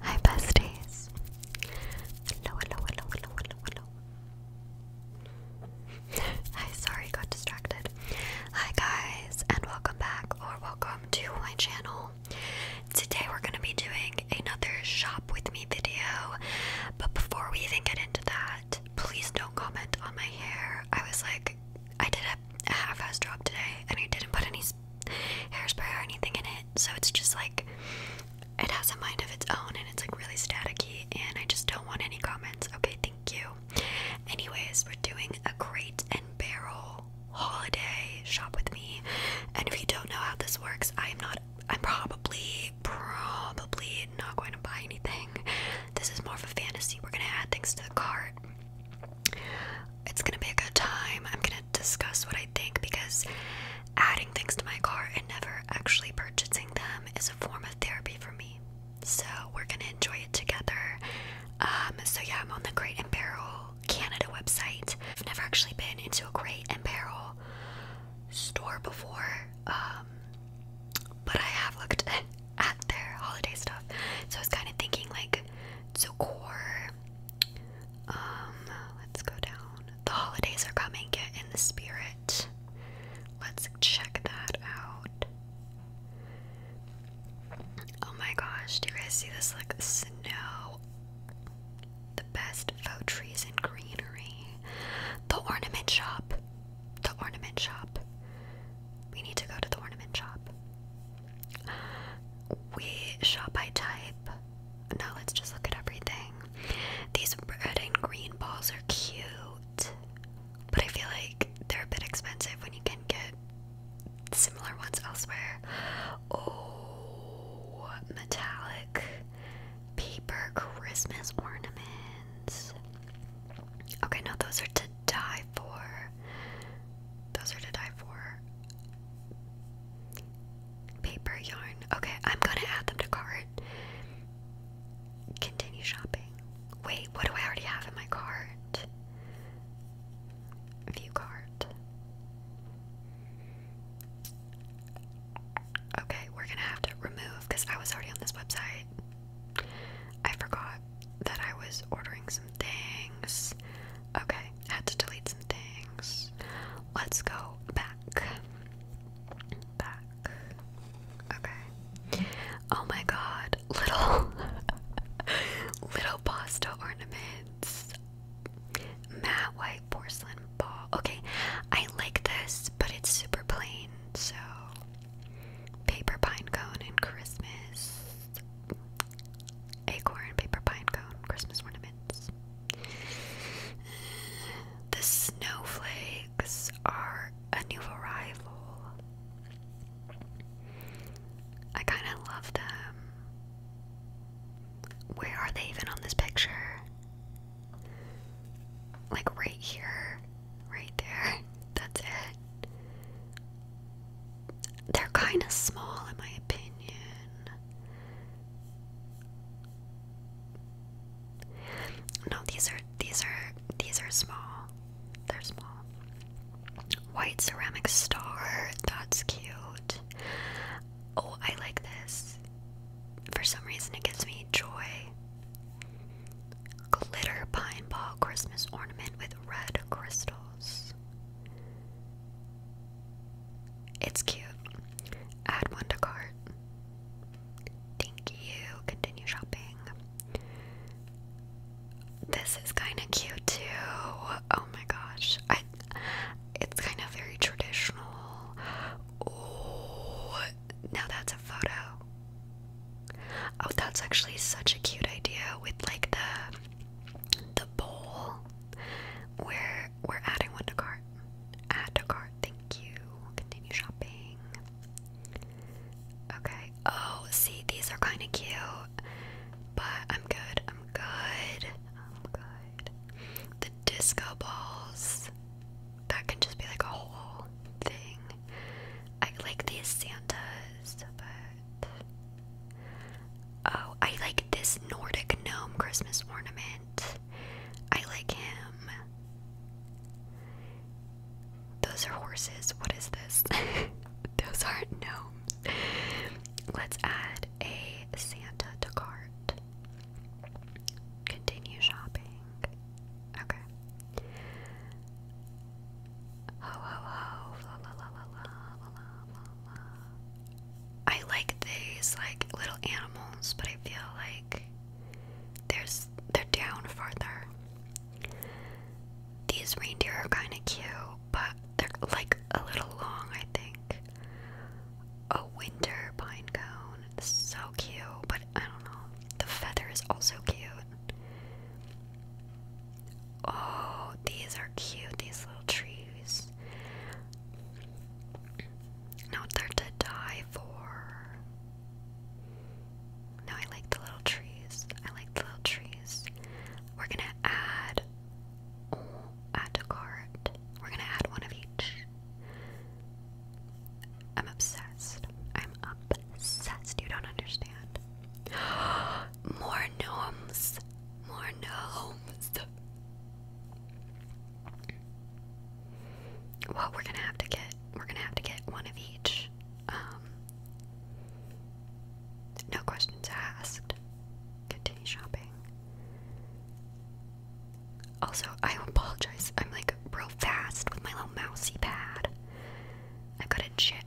Hi, besties. Hello, hello, hello, hello, hello, hello. Hi, sorry, got distracted. Hi, guys, and welcome back or welcome to my channel. Today, we're going to be doing another shop with me video. But before we even get into that, please don't comment on my hair. I was like, I did a half ass job today and I didn't put any hairspray or anything in it. So it's just like it has a mind of its own and it's like really staticky and I just don't want any comments. Okay, thank you. Anyways, we're doing a crate and barrel holiday shop with me. And if you don't know how this works, I am not I'm probably probably not going to buy anything. This is more of a fantasy. We're gonna add things to the cart. It's gonna be a good time. I'm gonna discuss what I think because adding things to my car and never actually purchasing them is a form of therapy for me. So we're gonna enjoy it together. Um, so yeah, I'm on the Great and Barrel Canada website. I've never actually been into a Great and Barrel store before, um, but I have looked at their holiday stuff. So I was kind of thinking like decor um, let's go down. The holidays are coming, get in the spirit. Let's check that out. Oh my gosh, do you guys see this like snow? The best faux trees and greenery. The ornament shop. The ornament shop. We need to go to the ornament shop. We shop by type. No, let's just look at everything. These red and green balls are cute, but I feel like they're a bit expensive when you can get similar ones elsewhere. Oh, metallic paper Christmas ornaments. Okay, no, those are to die for. Those are to die for. Paper yarn. Okay, I'm gonna add them to cart. Continue shopping. Wait, what do I already have in my cart? View cart. Okay, we're gonna have to remove because I was already on this website. I forgot that I was ordering some things. Okay, I had to delete some things. Let's go back. Back. Okay. Oh my god, little little pasta ornaments. Matte white porcelain ball. Okay, I like this, but it's super plain, so paper pine cone and Christmas acorn, paper pine cone, Christmas ornaments. The snowflakes are a new arrival. I kind of love them. Where are they even on this picture? Like right here, right there. That's it they're kind of small, in my opinion. No, these are these are these are small. They're small. White ceramic star. That's cute. Oh, I like this. For some reason, it gives me joy. Glitter pine ball Christmas ornament with red crystals. It's cute. Add one to cart. Thank you. Continue shopping. This is kind of cute too. Oh my gosh. I it's kind of very traditional. Oh, now that's a photo. Oh, that's actually such a cute idea with like the the bowl where we're adding one to cart. Add to cart, thank you. Continue shopping. Okay. Oh, see, these are kind of cute, but I'm good. I'm good. I'm good. The disco balls that can just be like a whole thing. I like these Santas, but Oh, I like this Nordic gnome Christmas ornament. I like him. Those are horses. What is this? Those aren't gnomes. Let's add a Santa to cart. Continue shopping. Okay. Ho ho ho, la la la la la la la la I like these like little animals, but I feel like there's they're down farther. These reindeer are kind of cute, but they're like a little long, I think. A winter pine cone, so cute, but I don't know. The feather is also cute. Oh, these are cute, these little trees. No, they're to die for. No, I like the little trees. I like the little trees. We're gonna add add to cart. We're gonna add one of each. I'm obsessed. I'm obsessed. You don't understand. more gnomes, more gnomes. Well, we're gonna have to get we're gonna have to get one of each. Um, no questions asked. Continue shopping. Also, I apologize. I'm like real fast with my little mousy pad. I've got a chat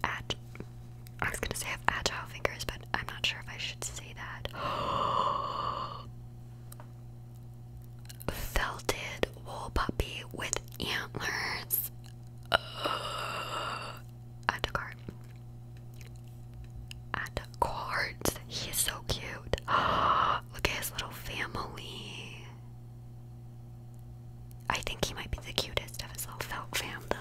I was gonna say I have agile fingers, but I'm not sure if I should say that. Felted wool puppy with antlers. Uh, add to cart. Add to cards. He so cute. Look at his little family. I think he might be the cutest of his little felt family, though.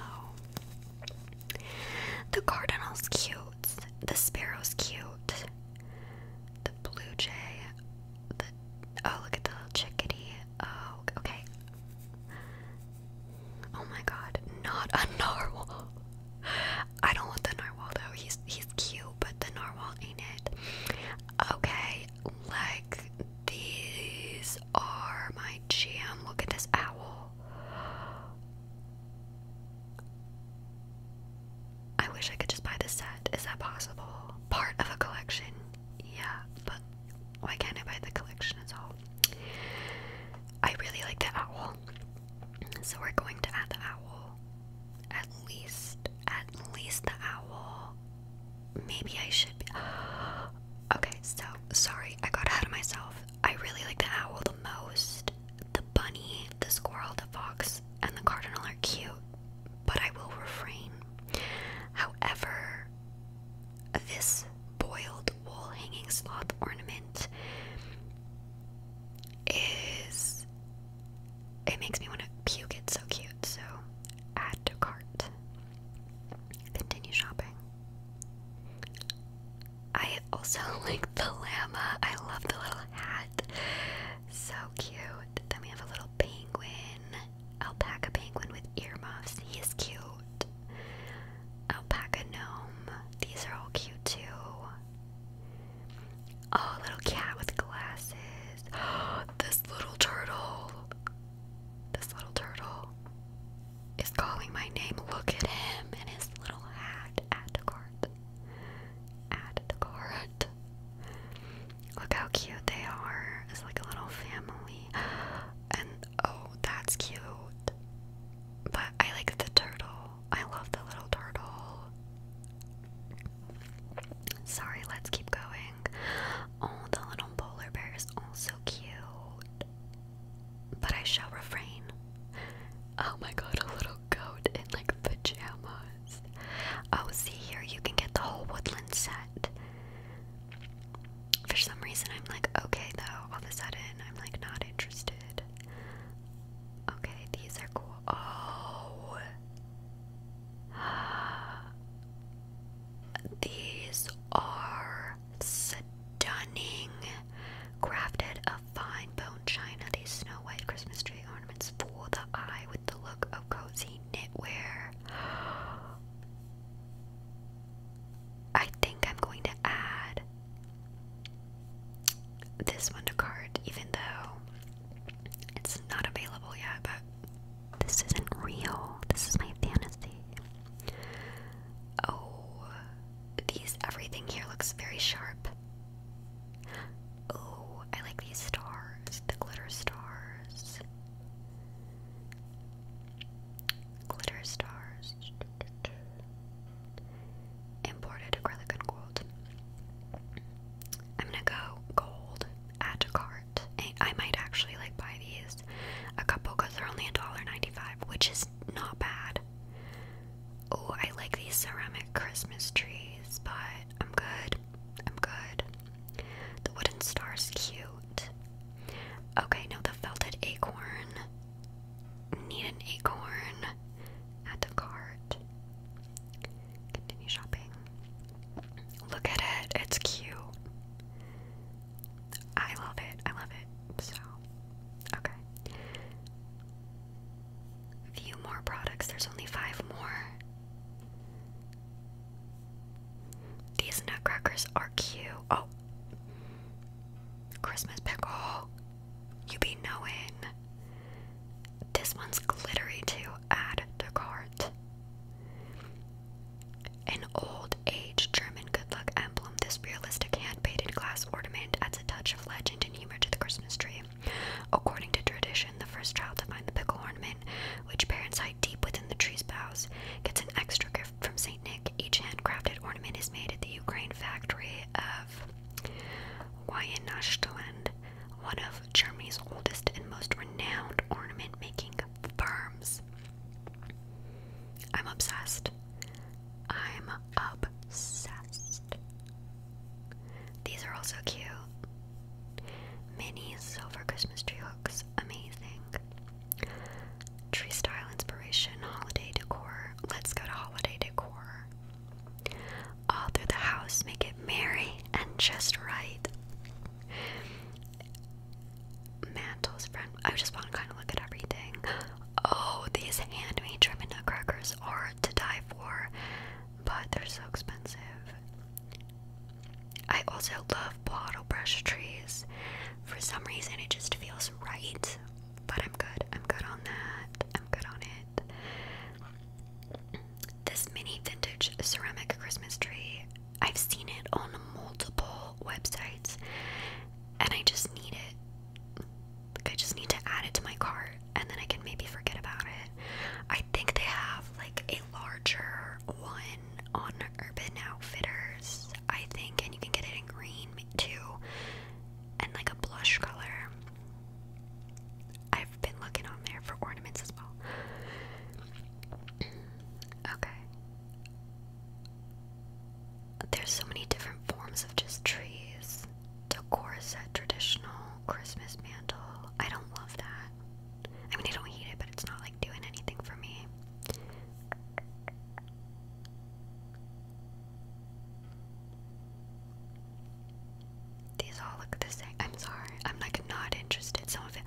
The cardinal's cute. The sparrow's cute. The blue jay. oh, look at the little chickadee. Oh, okay. Oh my God, not a narwhal. I don't want the narwhal though. He's he's cute, but the narwhal ain't it. Okay, like these are my jam. Look at this owl. I wish I could just buy the set. Is that possible? Part of a collection. Yeah, but why can't I buy the collection at all? I really like the owl. So we're going to add the owl. At least, at least the owl. Maybe I should be. Okay, so sorry, I got ahead of myself. I really like the owl the most. The bunny, the squirrel, the fox, and the cardinal are cute, but I will refrain. However, this boiled wool hanging sloth ornament is. It makes me want to puke. It's so cute. So add to cart. Continue shopping. I also like the llama. I love the little hat. So cute. Then we have a little penguin. Alpaca penguin with earmuffs. He is cute. Alpaca gnome. These are all cute too. Oh, little cat with glasses. this little turtle. This little turtle is calling my name. Look at him and his little hat. At the cart. Look how cute they are. It's like a little family. And oh, that's cute. But I like the turtle. I love the little turtle. Sorry, let's keep going. Oh, the little polar bear is also cute but I shall refrain. Oh my god, a little goat in like pajamas. Oh, see here, you can get the whole woodland set. For some reason, I'm like, okay, though, all of a sudden, I'm like not interested. Okay, these are cool. Oh. These are stunning. Crafted of fine bone china, these snow white Christmas tree ornaments fool the eye with the look of cozy knitwear. I think I'm going to add this one to cart, even though it's not available yet, but this isn't real. This is my fantasy. Oh, these everything here looks very sharp. Oh, I like these stars, the glitter stars. Glitter stars. Imported acrylic and gold. I'm gonna go gold, add to cart. I might actually like buy these is a couple because they're only $1.95, which is not bad. Oh, I like these ceramic Christmas trees, but I'm good. I'm good. The wooden star's cute. Okay, now the felted acorn. Need an acorn. Add to cart. Continue shopping. Look at it. It's cute. I love it. I love it. So Okay. Few more products. There's only five more. These nutcrackers are cute. Oh. Christmas pickle. You be knowing. This one's glittery to add to cart. An old age German good luck emblem, this realistic hand painted glass ornament adds a touch of legend and humor to the Christmas tree. According to tradition, the first child to find the pickle ornament, which parents hide deep within the tree's boughs, gets an extra gift from St. Nick. Each handcrafted ornament is made at the Ukraine factory of Wyanashtoland, one of Germany's oldest and most renowned ornament making firms. I'm obsessed. I'm obsessed. These are also cute. Mini silver Christmas tree hooks, amazing. Tree style inspiration, holiday decor. Let's go to holiday decor. All through the house, make it merry and just right. Mantle's friend. I just want to kind of look at everything. Oh, these handmade German nutcrackers are to die for, but they're so expensive. I also love bottle brush trees. For some reason, it just feels right. But I'm good. I'm good on that. I'm good on it. This mini vintage ceramic Christmas tree. I've seen it on multiple websites and I just need it. Like, I just need to add it to my cart, and then I can maybe forget about it. I think they have like a larger one on Urban Outfitters, I think, and you can get it in green too, and like a blush color. I've been looking on there for ornaments as well. okay, there's so many different forms of just trees. Decor set, traditional, Christmas mantle. I don't love that. I mean, I don't hate it, but it's not like doing anything for me. These all look the same. I'm sorry. I'm like not interested. Some of it,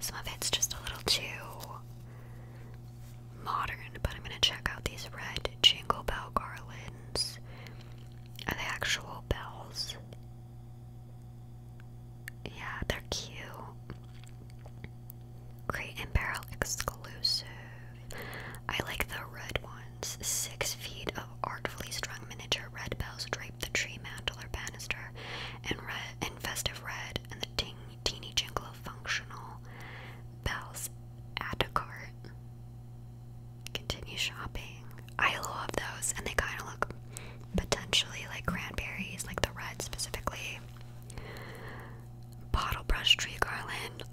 some of it's just a little too modern, but I'm gonna check out these red jingle bell garlands. Are they actual bells? Yeah, they're cute. Crate and exclusive. I like the red ones. Six feet of artfully strung miniature red bells drape the tree mantel or banister in red in festive red and the ting Teeny Jinglo Functional, Bell's cart. Continue shopping. I love those, and they kind of look potentially like cranberries, like the red specifically. Bottle brush tree garland.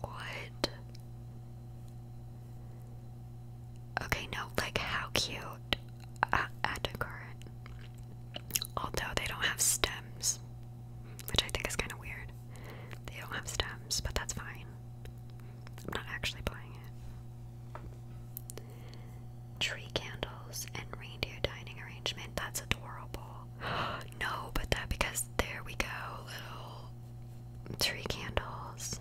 what? Okay, no, like how cute. Uh, Adicart although they don't have stems, which I think is kind of weird. They don't have stems, but that's fine. I'm not actually buying it. Tree candles and reindeer dining arrangement. That's adorable. no, but that because there we go, little tree candles.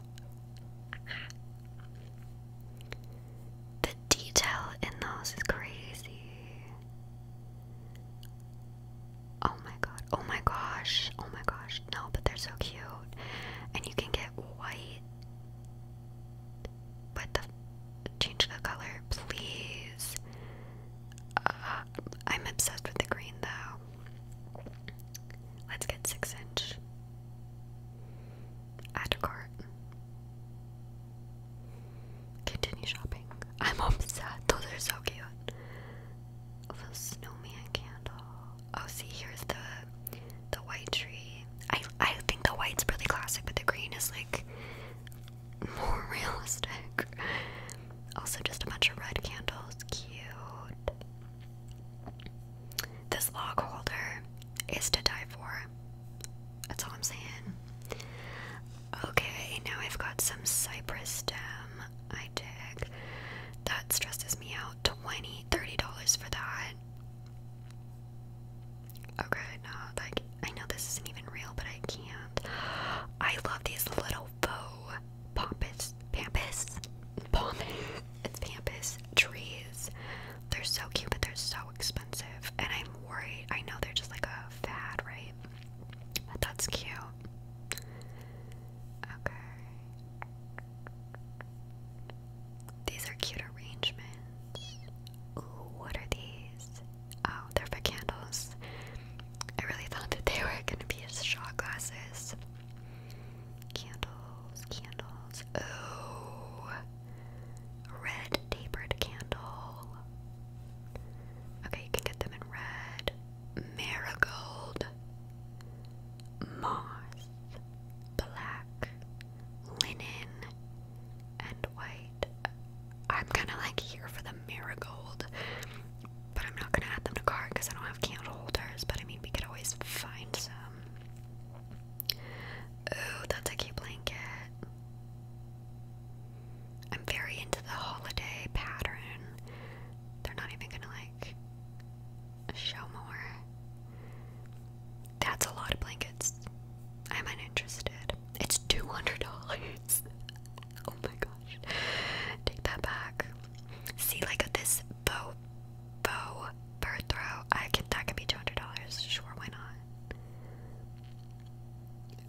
The detail in those is crazy. Oh my god. Oh my gosh. Oh my gosh. No, but they're so cute. And you can get white. But change the color, please. Uh, I'm obsessed with the green though. Let's get six inch. Add to cart. Continue shopping. I'm upset. Those are so cute. The snowman candle. Oh, see, here's the the white tree. I I think the white's really classic, but the green is like more realistic. Also, just a bunch of red candles. Cute. This log holder is to die for. That's all I'm saying. Okay, now I've got some cypress stem. I dig. That stresses me out. 20 $30 for that. Okay, no, like I know this isn't even real, but I can't. I love these little faux pompous pampas pom it's pampas trees. They're so cute, but they're so expensive. And I'm worried. I know they're just like a fad, right? that's cute. Okay. These are cute arrangements. Ooh, what are these? Oh, they're for candles. I really thought that they were gonna be as shot glasses. Candles, candles. Oh, red tapered candle. Okay, you can get them in red. Marigold. Moss. Black. Linen. And white. I'm kind of like here for the marigold. But I'm not going to add them to cart because I don't have candle holders. But I mean, we could always find some. Ooh, that's a cute blanket. I'm very into the holiday pattern. They're not even gonna like show more. That's a lot of blankets. I'm uninterested. It's two hundred dollars. oh my gosh. Take that back. See like this bow bow bird throw. I can that could be two hundred dollars. Sure, why not?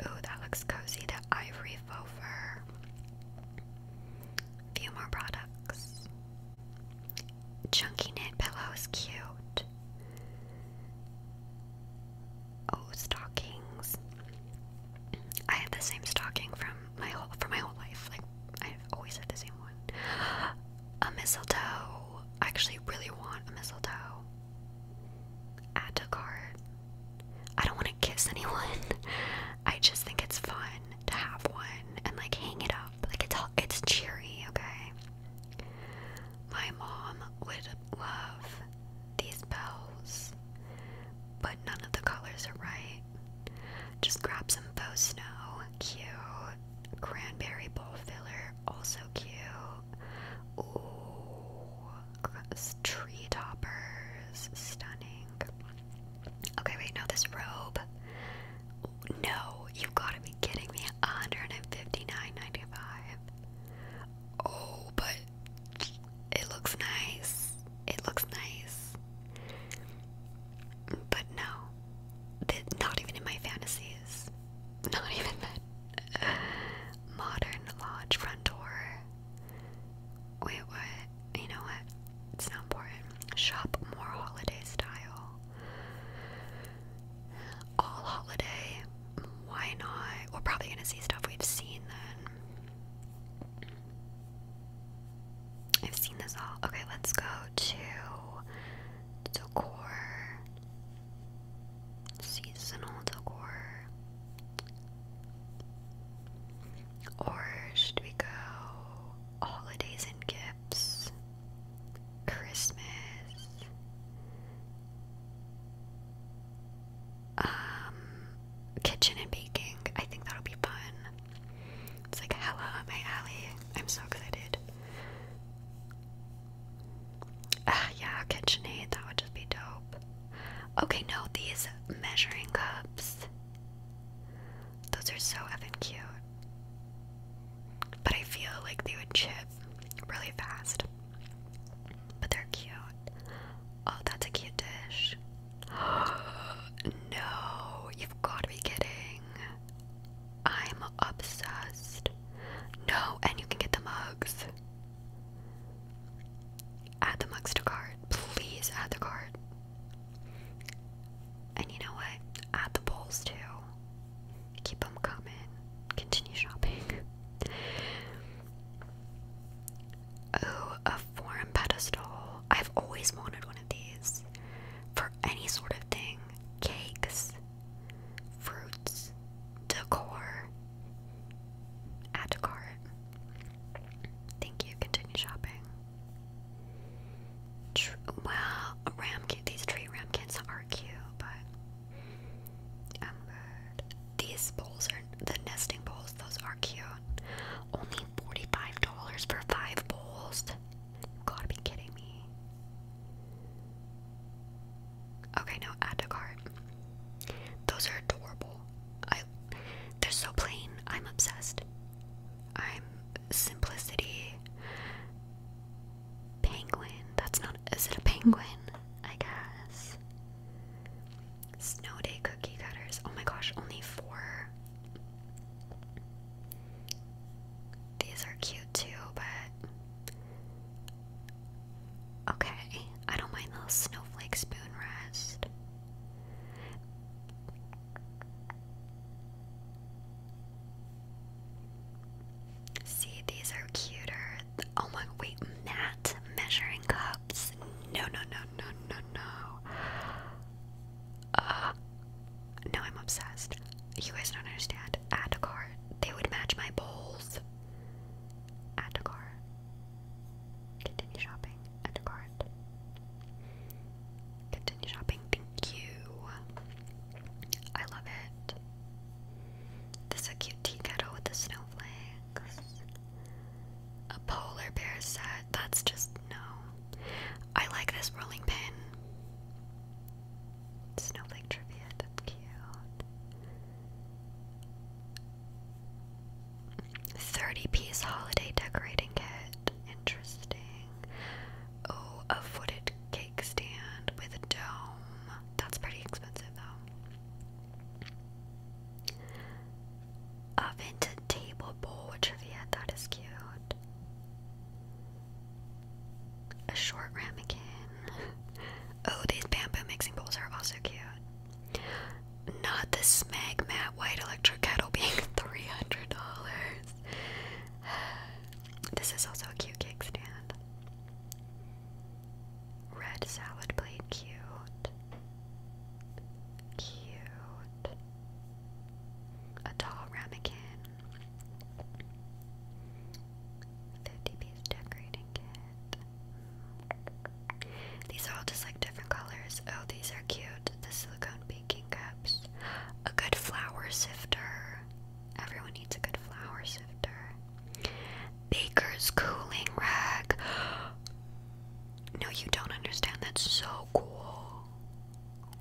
Ooh, that looks cozy. The ivory faux fur. Few more products. Chunky knit pillow is cute. Oh, stockings. I had the same stocking from my whole for my whole life. Like I've always had the same one. A mistletoe. I actually really want a mistletoe. Add to cart. I don't want to kiss anyone. I just think it's fun to have one and like hang it up. Like it's all, it's cheery, okay? My mom would love these bows, but none of the colors are right. Just grab some faux snow, cute. Cranberry bowl filler, also cute. Ooh, tree toppers, stunning. Okay, wait, no, this robe. No, you've got to be kidding me. 159.95. Oh, but it looks nice. It looks nice. But no, not even in my fantasies. Not even that modern lodge front door. Wait, what? You know what? It's not important. Shop more holiday style. All holiday. Why not? We're probably gonna see stuff we've seen then. I've seen this all. Okay, let's go to decor seasonal decor? Or should we go holidays and gifts? Christmas? Um, kitchen and baking. I think that'll be fun. It's like hella my alley. I'm so excited. Ah, yeah, KitchenAid, that would just be dope. Okay, no, these measuring cups. Those are so effing cute. But I feel like they would chip really fast. But they're cute. Oh, that's a cute dish. no, you've got to be kidding. I'm obsessed. No, and you can get the mugs. Add the Muxter card. Please add the card. And you know what? Add the polls too. Keep them coming. Continue shopping. Oh, a forum pedestal. I've always wanted one of these. For any sort of thing. Cakes, fruits, decor, Add to cart. Thank you. Continue shopping. well, ramkin. These tree ramkins are cute, but um, These bowls are the nesting bowls. Those are cute. Only forty-five dollars for five bowls. gotta be kidding me. Okay, now add to cart. Those are adorable. I they're so plain. I'm obsessed. I'm simplicity. Penguin. That's not is it a penguin? I guess. Snow Day cookie cutters. Oh my gosh, only four. These are cute too, but Okay, I don't mind the snowflake spoon rest. See, these are cuter. Oh my, wait, matte measuring cups. No, no, no, no, no, no. Uh, no, I'm obsessed. You guys don't understand. Add a card. They would match my bowls. Add a cart. Continue shopping. Add to cart. Continue shopping. Thank you. I love it. This is a cute tea kettle with the snowflakes. A polar bear set. That's just no. I like this rolling pin. Snowflake trivia. cute. 30 piece holiday decorating kit. Interesting. Oh, a footed cake stand with a dome. That's pretty expensive though. A vintage table bowl trivia. That is cute. A short ramekin. Oh, these bamboo mixing bowls are also cute. Not the Smeg Matte White Electric Kettle being $300. This is also a cute cake stand. Red salad plate, cute. Cute. A tall ramekin. 50 piece decorating kit. These are all just like different colors. Oh, these are cute. The silicone baking cups. A good flour sifter. Everyone needs a good flour sifter. Baker's cooling rack. No, you don't understand. That's so cool.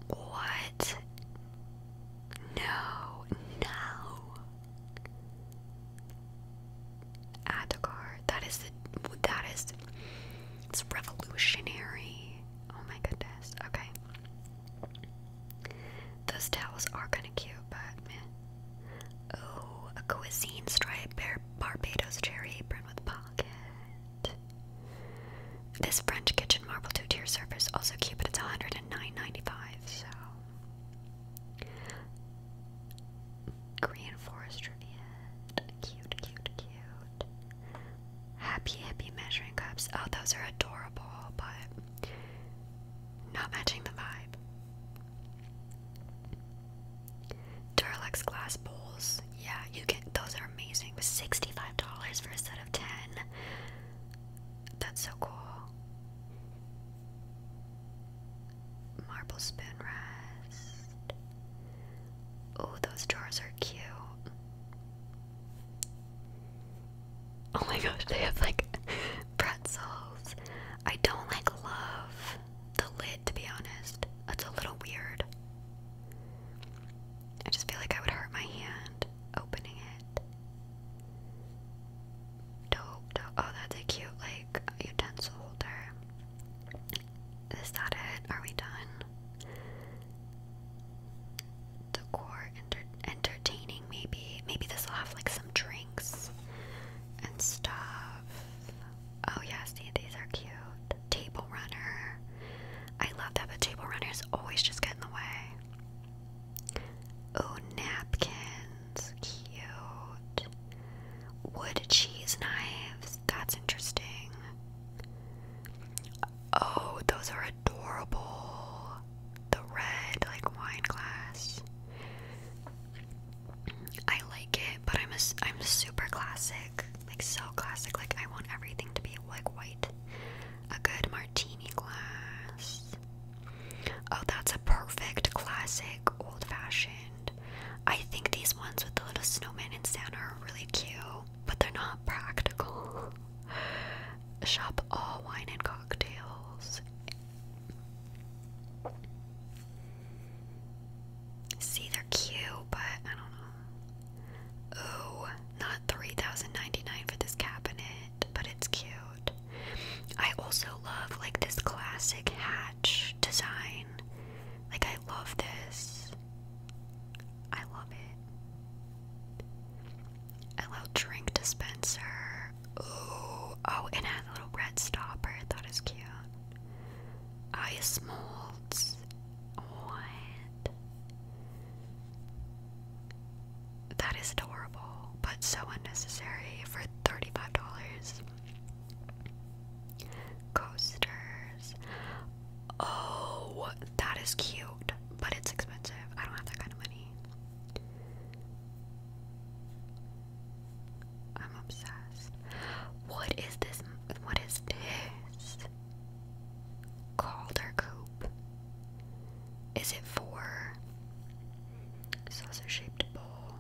What? No, no. Adagar. That is the that is it's revolutionary. Oh my goodness. Okay. Those towels are kind of cute, but Oh, a cuisine stripe bar Barbados cherry apron with pocket. This French kitchen marble two-tier surface also cute, but it's 109.95. So Green Forest Riviette. Cute, cute, cute. Happy Hippie measuring cups. Oh, those are adorable, but not matching the vibe. Duralex glass bowls. Yeah, you get Those are amazing. Sixty-five dollars for a set of ten. That's so cool. Marble spoon rest. Oh, those jars are cute. Oh my gosh, they have like pretzels. I don't like love the lid to be honest. That's a little weird. I just feel like I would hurt my hand opening it. Dope, Oh, that's a cute, like, utensil holder. Is that it? Are we done? Decor, enter entertaining, maybe. Maybe this will have, like, some drinks and stuff. Oh, yeah, see, these are cute. Table runner. I love that, but table runners always just get in the way. Oh, napkins. Cute. Wood cheese knives. That's interesting. Oh, those are adorable. The red, like wine glass. I like it, but I'm i I'm super classic, like so classic. Like I want everything to be like white. A good martini glass. Oh, that's a perfect classic old fashioned. I think these ones with the little snowman and Santa are really cute, but they're not practical. Shop all wine and cocktails. See, they're cute, but I don't know. Oh, not 3099 for this cabinet, but it's cute. I also love like this classic hatch design. Like I love this. I love it. I love drink dispenser. Oh, oh, and has a little red stopper. That is cute. Ice molds. What? That is adorable, but so unnecessary for $35. Coasters. Oh, that is cute, but it's expensive. I don't have that kind of money. I'm obsessed. What is this? What is this? Calder Coop. Is it for saucer shaped bowl,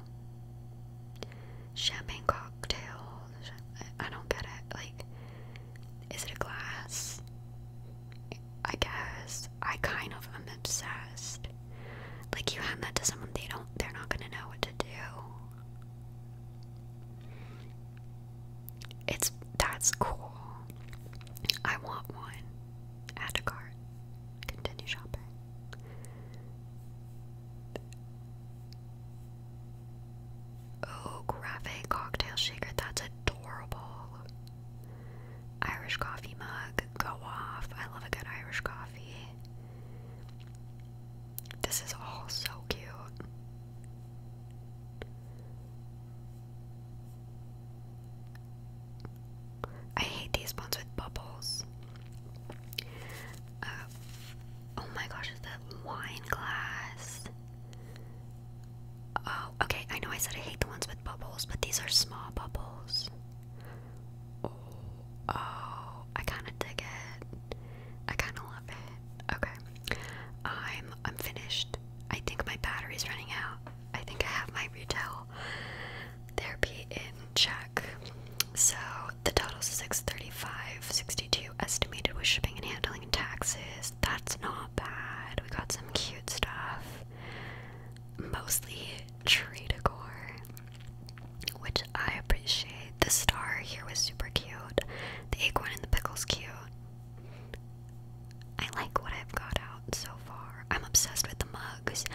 champagne cocktail. I don't get it. Like, is it a glass? I guess I kind of am obsessed. Like you hand that to someone, they don't. They're not gonna know what to do. It's that's cool. I want one. Add to cart. Continue shopping. Oh, graphic cocktail shaker. That's adorable. Irish coffee mug. Go off. I love a good Irish coffee. This is all so cute. I hate these ones with bubbles. Uh, oh my gosh, is wine glass? Oh, okay. I know I said I hate the ones with bubbles, but these are small bubbles. Oh, I kind of dig it. I kind of love it. Okay, I'm I'm finished. I think my battery's running out. I think I have my retail therapy in check. So the total is 635, 62 estimated with shipping and handling and taxes. That's not bad. We got some cute stuff. Mostly tree decor, which I appreciate. The star here was super cute. The acorn and the pickle's cute. I like what I've got out so far. I'm obsessed with the mugs.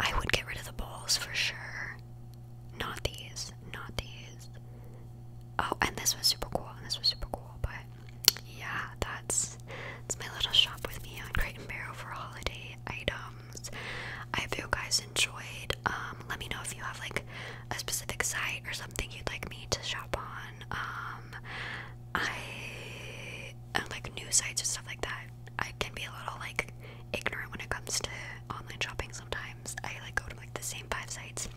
I would get rid of the bowls for sure. Not these. Not these. Oh, and this was super cool. And this was super cool. But yeah, that's it's my little shop with me on Crate and Barrel for holiday items. I hope you guys enjoyed. Um, let me know if you have like a specific site or something you'd like me to shop on. Um, I and uh, like new sites and stuff like that. I can be a little like ignorant when it comes to online shopping sometimes. I like go to like the same five sites.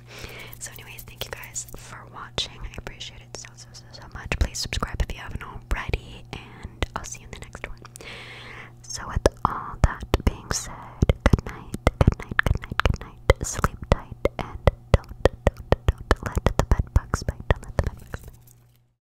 So anyways, thank you guys for watching. I appreciate it so so so so much. Please subscribe if you haven't already and I'll see you in the next one. So with all that being said, good night, good night, good night, good night. Sleep tight and don't don't don't let the bed bugs bite. Don't let the bed bugs bite.